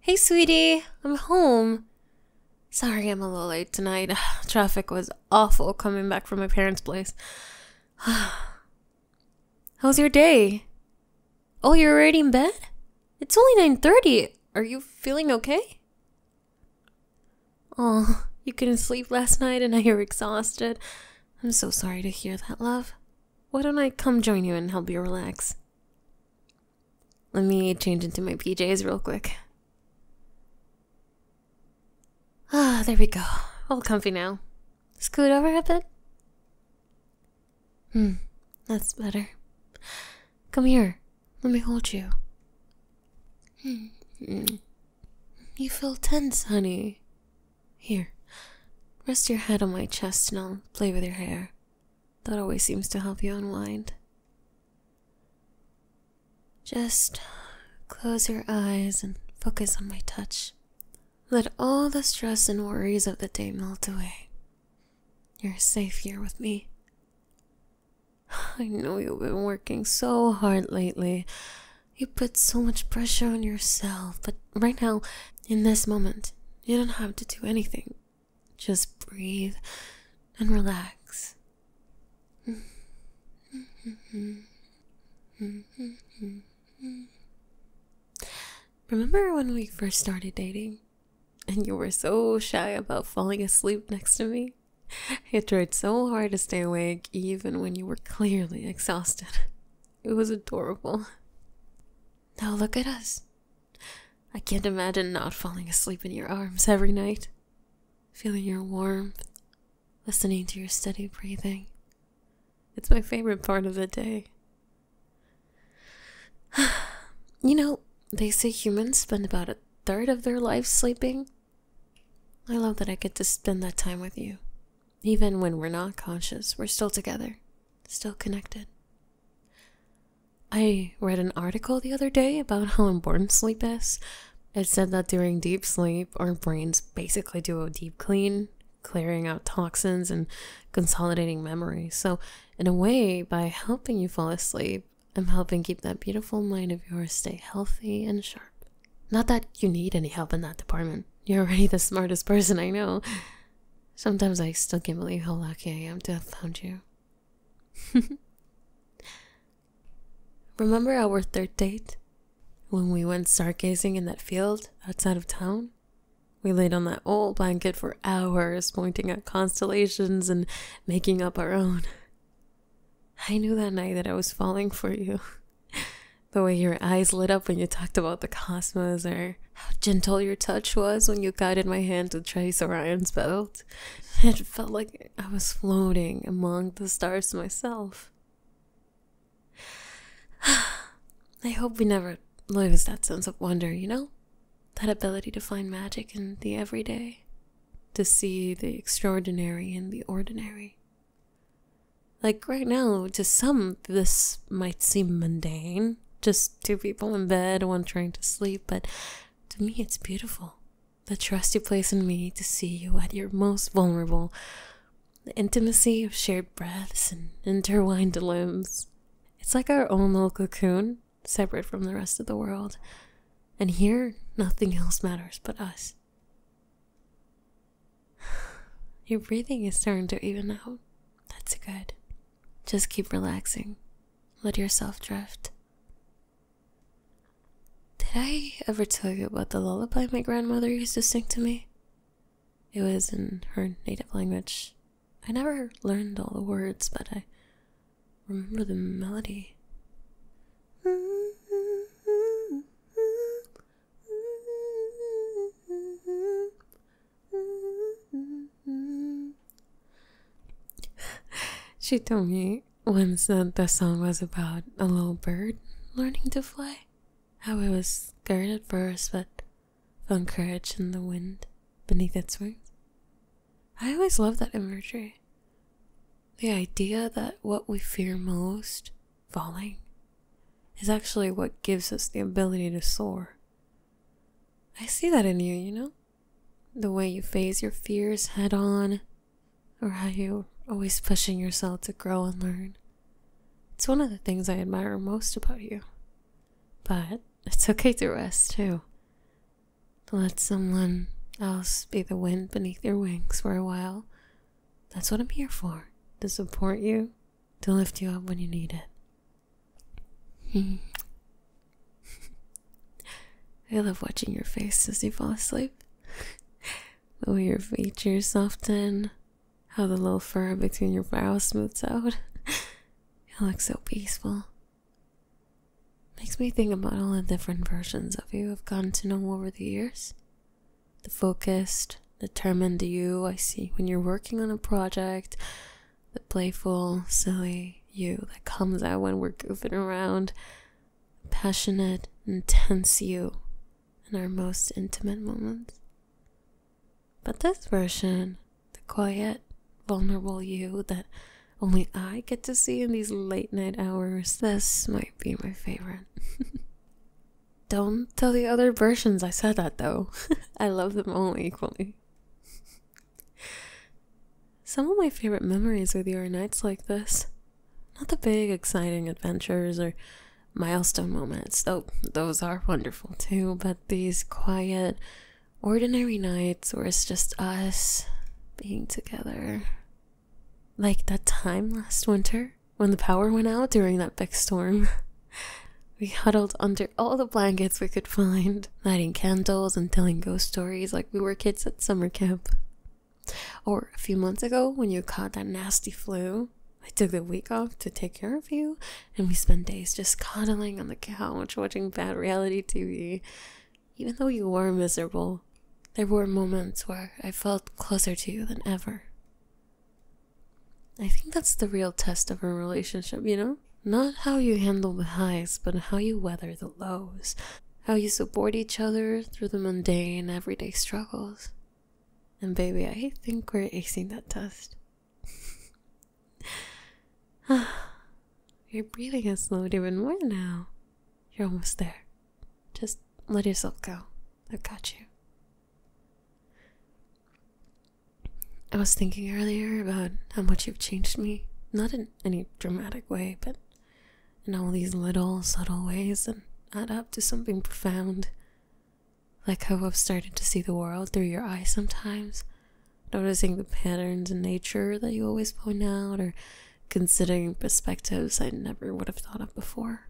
Hey, sweetie, I'm home. Sorry, I'm a little late tonight. Traffic was awful coming back from my parents' place. How's your day? Oh, you're already in bed? It's only 9:30. Are you feeling okay? Oh, you couldn't sleep last night and now you're exhausted. I'm so sorry to hear that, love. Why don't I come join you and help you relax? Let me change into my PJs real quick. Ah, there we go. All comfy now. Scoot over a bit. Hmm, that's better. Come here. Let me hold you. Hmm, hmm. You feel tense, honey. Here, rest your head on my chest and I'll play with your hair. That always seems to help you unwind. Just close your eyes and focus on my touch. Let all the stress and worries of the day melt away. You're safe here with me. I know you've been working so hard lately. You put so much pressure on yourself, but right now, in this moment, you don't have to do anything. Just breathe and relax. Remember when we first started dating and you were so shy about falling asleep next to me? You tried so hard to stay awake even when you were clearly exhausted. It was adorable. Now look at us. I can't imagine not falling asleep in your arms every night, feeling your warmth, listening to your steady breathing. It's my favorite part of the day. you know, they say humans spend about a third of their life sleeping. I love that I get to spend that time with you. Even when we're not conscious, we're still together, still connected. I read an article the other day about how important sleep is. It said that during deep sleep, our brains basically do a deep clean, clearing out toxins and consolidating memories. So, in a way, by helping you fall asleep, I'm helping keep that beautiful mind of yours stay healthy and sharp. Not that you need any help in that department. You're already the smartest person I know. Sometimes I still can't believe how lucky I am to have found you. Remember our third date? When we went stargazing in that field outside of town? We laid on that old blanket for hours, pointing at constellations and making up our own. I knew that night that I was falling for you. the way your eyes lit up when you talked about the cosmos, or how gentle your touch was when you guided my hand to trace Orion's belt. It felt like I was floating among the stars myself. I hope we never lose that sense of wonder, you know? That ability to find magic in the everyday, to see the extraordinary in the ordinary. Like right now, to some, this might seem mundane, just two people in bed, one trying to sleep, but to me it's beautiful. The trust you place in me to see you at your most vulnerable, the intimacy of shared breaths and intertwined limbs. It's like our own little cocoon, separate from the rest of the world. And here, nothing else matters but us. Your breathing is starting to even out. That's good. Just keep relaxing. Let yourself drift. Did I ever tell you about the lullaby my grandmother used to sing to me? It was in her native language. I never learned all the words, but I remember the melody she told me once that the song was about a little bird learning to fly. How it was scared at first, but found courage in the wind beneath its wings. I always loved that imagery. The idea that what we fear most, falling, is actually what gives us the ability to soar. I see that in you, you know? The way you face your fears head on, or how you're always pushing yourself to grow and learn. It's one of the things I admire most about you. But it's okay to rest too. Let someone else be the wind beneath your wings for a while. That's what I'm here for to support you, to lift you up when you need it. Hmm. I love watching your face as you fall asleep. the way your features soften, how the little fur between your brows smooths out. You look so peaceful. Makes me think about all the different versions of you I've gotten to know over the years. The focused, determined you I see when you're working on a project, the playful, silly you that comes out when we're goofing around, passionate, intense you in our most intimate moments. But this version, the quiet, vulnerable you that only I get to see in these late night hours, this might be my favorite. Don't tell the other versions I said that though. I love them all equally. Some of my favorite memories are the are nights like this. Not the big, exciting adventures or milestone moments, though those are wonderful too, but these quiet, ordinary nights where it's just us being together. Like that time last winter when the power went out during that big storm. We huddled under all the blankets we could find, lighting candles and telling ghost stories like we were kids at summer camp. Or a few months ago, when you caught that nasty flu, I took the week off to take care of you, and we spent days just cuddling on the couch watching bad reality TV. Even though you were miserable, there were moments where I felt closer to you than ever. I think that's the real test of a relationship, you know? Not how you handle the highs, but how you weather the lows, how you support each other through the mundane, everyday struggles. And baby, I think we're acing that test. You're breathing has slowed even more now. You're almost there. Just let yourself go. I've got you. I was thinking earlier about how much you've changed me, not in any dramatic way, but in all these little subtle ways that add up to something profound. Like how I've started to see the world through your eyes sometimes, noticing the patterns in nature that you always point out, or considering perspectives I never would have thought of before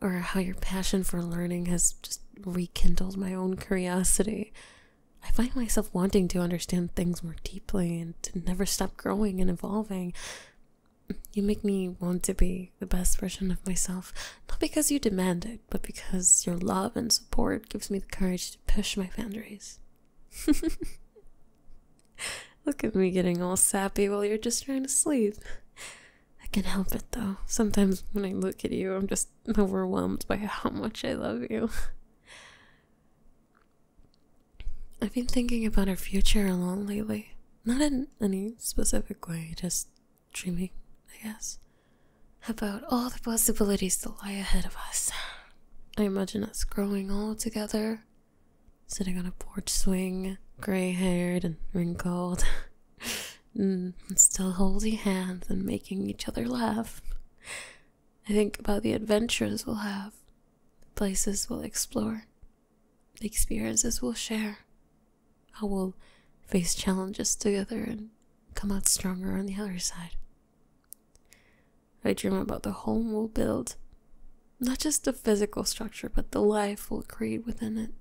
or how your passion for learning has just rekindled my own curiosity. I find myself wanting to understand things more deeply and to never stop growing and evolving. You make me want to be the best version of myself, not because you demand it, but because your love and support gives me the courage to push my boundaries. Look at me getting all sappy while you're just trying to sleep. I can not help it though. Sometimes when I look at you, I'm just overwhelmed by how much I love you. I've been thinking about our future a lot lately. Not in any specific way, just dreaming, I guess. About all the possibilities that lie ahead of us. I imagine us growing old together, sitting on a porch swing, grey haired and wrinkled, Mm, still holding hands and making each other laugh. I think about the adventures we'll have, the places we'll explore, the experiences we'll share, how we'll face challenges together and come out stronger on the other side. I dream about the home we'll build, not just the physical structure, but the life we'll create within it.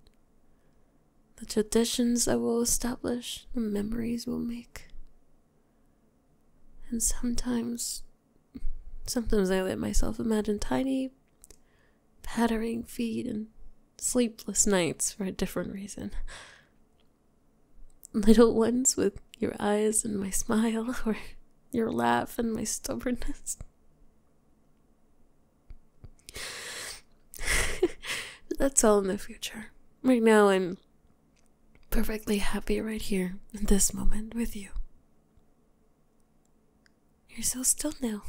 The traditions I will establish, the memories we'll make. And sometimes, sometimes I let myself imagine tiny, pattering feet and sleepless nights for a different reason. Little ones with your eyes and my smile, or your laugh and my stubbornness. That's all in the future. Right now, I'm perfectly happy right here in this moment with you. You're so still now.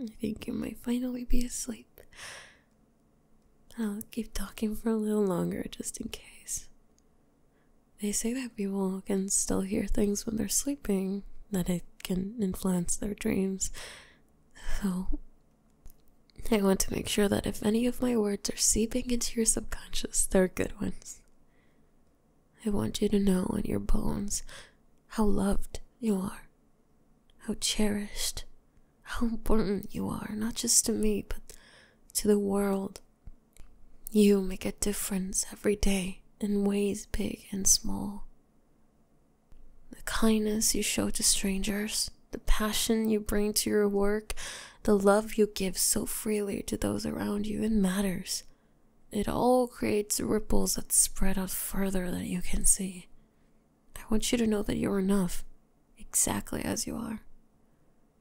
I think you might finally be asleep. I'll keep talking for a little longer just in case. They say that people can still hear things when they're sleeping, that it can influence their dreams. So, I want to make sure that if any of my words are seeping into your subconscious, they're good ones. I want you to know in your bones how loved you are, how cherished, how important you are, not just to me, but to the world. You make a difference every day in ways big and small. The kindness you show to strangers, the passion you bring to your work, the love you give so freely to those around you, it matters. It all creates ripples that spread out further than you can see. I want you to know that you're enough, exactly as you are.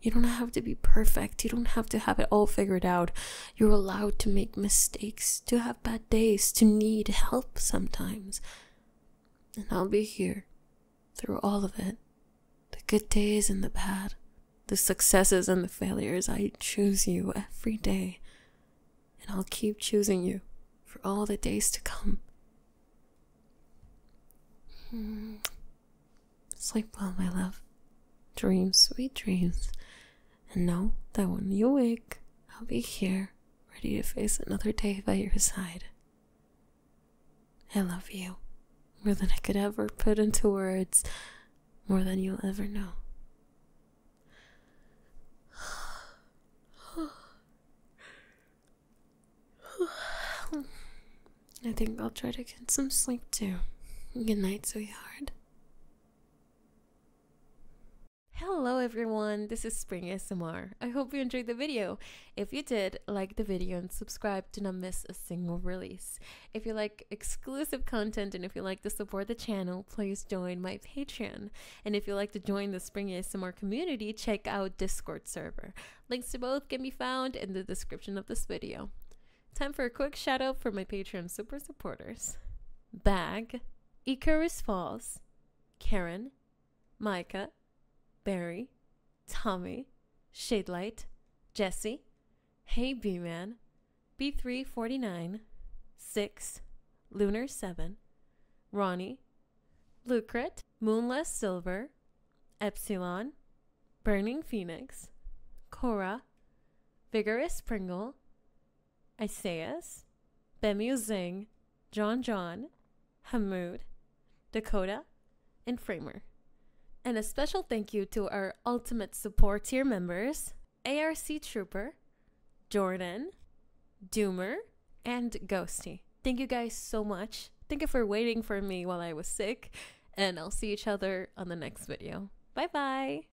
You don't have to be perfect, you don't have to have it all figured out. You're allowed to make mistakes, to have bad days, to need help sometimes. And I'll be here through all of it the good days and the bad, the successes and the failures. I choose you every day, and I'll keep choosing you for all the days to come. Hmm. Sleep well, my love. Dream sweet dreams. And know that when you wake, I'll be here, ready to face another day by your side. I love you more than I could ever put into words, more than you'll ever know. I think I'll try to get some sleep too. Good night, sweetheart. Hello everyone, this is Spring ASMR. I hope you enjoyed the video. If you did, like the video and subscribe to not miss a single release. If you like exclusive content and if you like to support the channel, please join my Patreon. And if you like to join the Spring ASMR community, check out Discord server. Links to both can be found in the description of this video. Time for a quick shout out for my Patreon super supporters. Bag, Icarus Falls, Karen, Micah, Barry, Tommy, Shadelight, Jesse, Hey B-Man, B349, 6, Lunar 7, Ronnie, Lucret, Moonless Silver, Epsilon, Burning Phoenix, Cora, Vigorous Pringle, Isaias, Bemu Zing, John John, Hamoud, Dakota, and Framer. And a special thank you to our ultimate support tier members ARC Trooper, Jordan, Doomer, and Ghosty. Thank you guys so much. Thank you for waiting for me while I was sick, and I'll see each other on the next video. Bye bye!